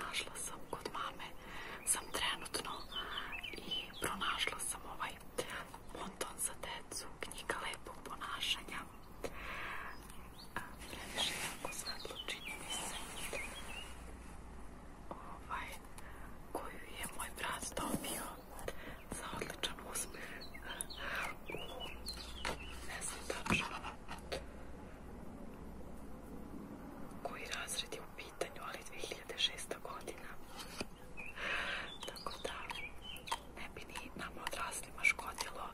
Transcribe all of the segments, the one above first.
našla sam kod mame sam trenutno i pronašla sam ovaj monton za decu knjiga lepog ponašanja previše jako čini mi se ovaj koju je moj brat dobio za odličan uspeh ne znam tačno koji razred je pitanju, ali 2006. godina. Tako da ne bi ni nama odraslima škodilo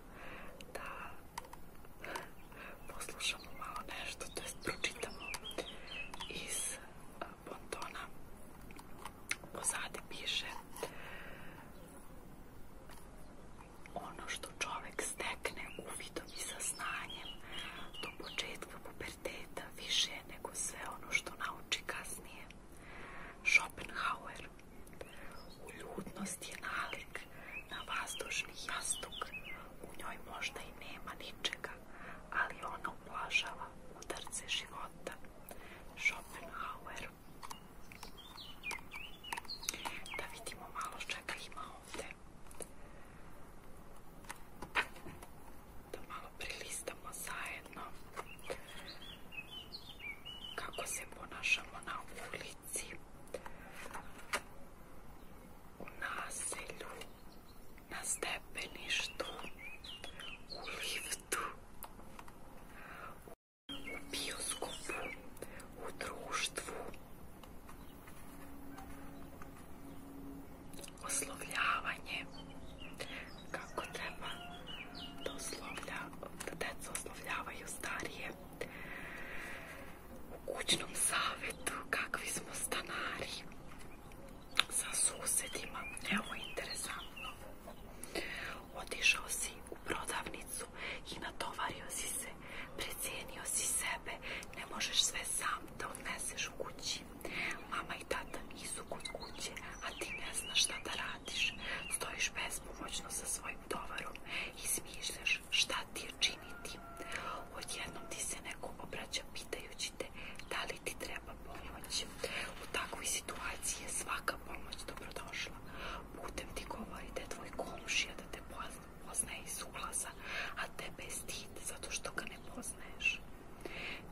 da poslušamo malo nešto, to jest pročitamo iz pontona. E, Pozadi piše ono što čovjek stekne u i vidom i saznanjem do početka puberteta više nego sve ono što nauči kasnije. Schopenhauer Uljudnost je nalik na vazdušni jastuk. U njoj možda i nema ničega, ali ona ublažava udarce života. Schopenhauer Da vidimo malo čega ima ovdje. Da malo prilistamo zajedno kako se ponašamo na ulici, u naselju, na stepeništu, u liftu, u bioskopu, u društvu, ословљавање како треба да ословља да деца старије у куќном савету какви смо станари са суседима ево интересантно отишао си у продавницу и натоварио си се Precijenio si sebe, ne možeš sve sam da odneseš kući. Mama i tata nisu kod kuće, a ti ne znaš šta da radiš. Stojiš bespomoćno sa svojim tovarom i smišljaš šta ti je činiti. Odjednom ti se neko obraća pitajući te da li ti treba pomoć. U takvoj situaciji je svaka pomoć dobrodošla. Putem ti govori tvoj komšija da te pozna poznaje iz ulaza, a te je zato što ga ne poznaješ.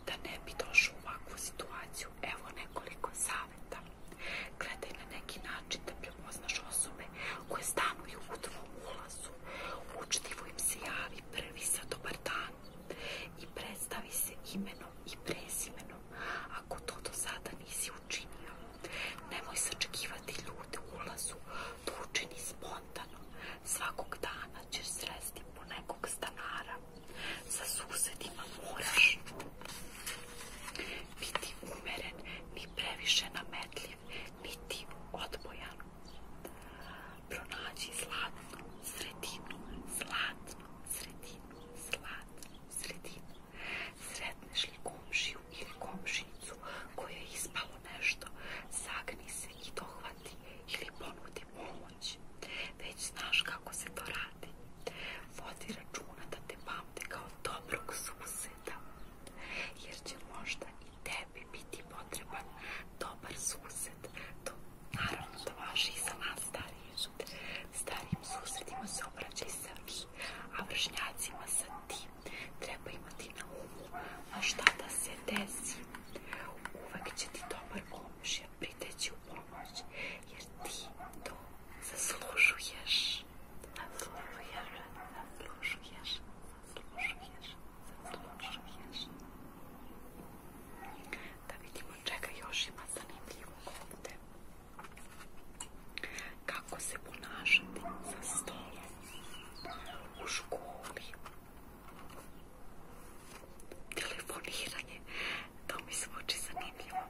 Da ne bi došao u ovakvu situaciju, evo nekoliko savjeta. Gledaj na neki način da prepoznaš osobe koje stanuju u tvom ulazu. Učtivo im se javi prvi sa dobar dan i predstavi se imenom i prezimenom ako to do sada nisi učinio. Nemoj sačekivati ljude u ulazu, to spontano. Svakog dana ćeš sresti po nekog stanara. Sa susedima moraš biti umeren, ni previše nametljiv, niti odbojan. Pronađi zlatnu sredinu, zlatnu sredinu, zlatnu sredinu. Sretneš li komšiju ili komšicu koje je ispalo nešto, sagni se i dohvati ili ponudi pomoć. Već znaš kako se to radi. Vodi računa da te pamte kao dobrog suseda, jer će možda i tebi biti potreban dobar sused. To naravno da važi i za nas Starijim susjedima se obraćaj sa a vršnjacima sa tim treba imati na umu, a šta da se desi. Uvek će ti dobar komšija priteći u pomoć, jer ti to zaslužuješ. Zaslužuješ, zaslužuješ, zaslužuješ, zaslužuješ. Da vidimo čega još ima zanimljivog ovde. Kako se ponašati sa stolom u školi? Telefoniranje, to mi zvuči zanimljivo.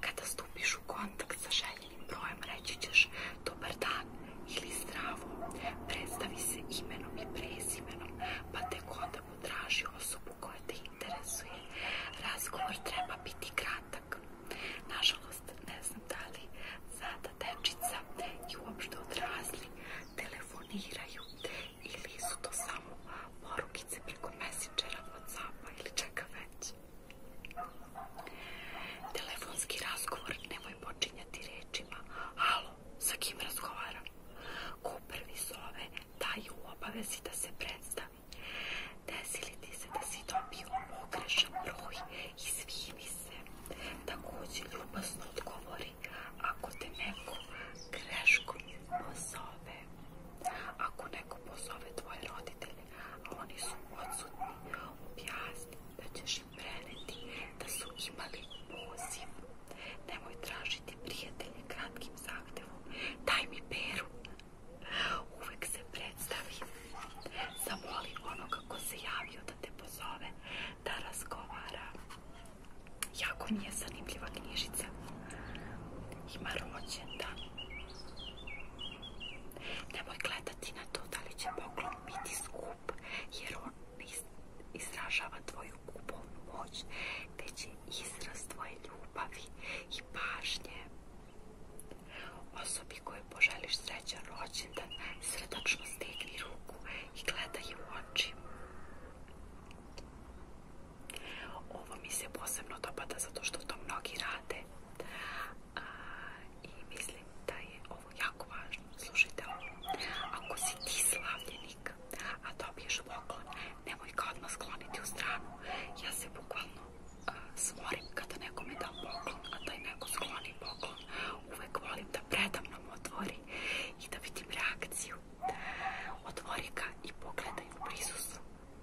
Kada stupiš u kontakt sa željenim brojem, reći ćeš dobar dan ili zdravo. Predstavi se imenom i prezimenom, pa tek onda potraži osobu koja te interesuje. Razgovor treba biti kratak. Nažalost, ne znam da li sada dečica i uopšte odrazli telefoniraju ili su to samo porukice preko messengera, whatsappa ili čeka već. Telefonski razgovor nemoj počinjati rečima Halo, sa kim razgovaram? Ko prvi zove, taj obavezi da se predstavi Desili ti se da si dobio pogrešan broj i svivi se. Također ljubazno odgovori ako te neko greškom pozove. Ako neko pozove tvoje roditelje, a oni su odsutni, objasni da ćeš im preneti da su imali poziv. Nemoj tražiti prijatelje kratkim zahtevom. Daj mi peru, Uvek se predstavi, zamoli onoga kako se javio da te pozove, da razgovara. Jako nije je zanimljiva knjižica. Ima rođendan. Nemoj gledati na to da li će poklon biti skup, jer on ne izražava tvoju kupovnu moć, izraz tvoje ljubavi i pažnje. Osobi koju poželiš srećan rođendan, srdačno stegni ruku i gledaj u oči. Ovo mi se posebno dopada zato što to mnogi rade. I mislim da je ovo jako važno. Slušajte ovo. Ako si ti slavljenik, a dobiješ poklon, nemoj ga odmah skloniti u stranu. Ja se bukvalno uh, smorim kada nekome dam poklon, a taj neko skloni poklon. Uvek volim da nam otvori i da vidim reakciju. Otvori ga i pogledaj u prisustvu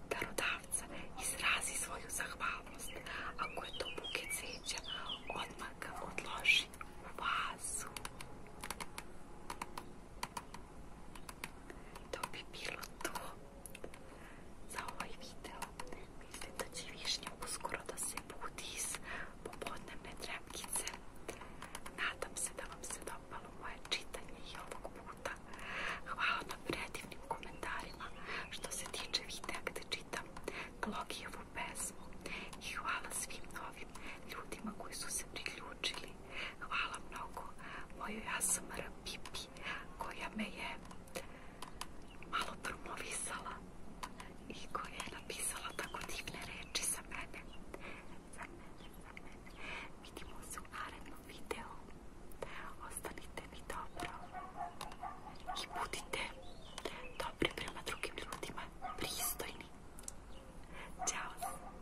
darodavca. Izrazi svoju zahvalnost. Ako je to buket odmah ga odloži u vazu. To bi bilo to za ovaj video. Mislim da će višnja uskoro da se budi iz popodnevne trepkice. Nadam se da vam se dopalo moje čitanje i ovog puta. Hvala na predivnim komentarima što se tiče videa gde čitam Glogijevu pesmu i hvala svim novim ljudima koji su se priključili hvala mnogo moju ASMR Pipi koja me je malo promovisala i koja je napisala tako divne reči za mene. Za za mene. Vidimo se u narednom videu. Ostanite mi dobro i budite dobri prema drugim ljudima, pristojni. Ćao!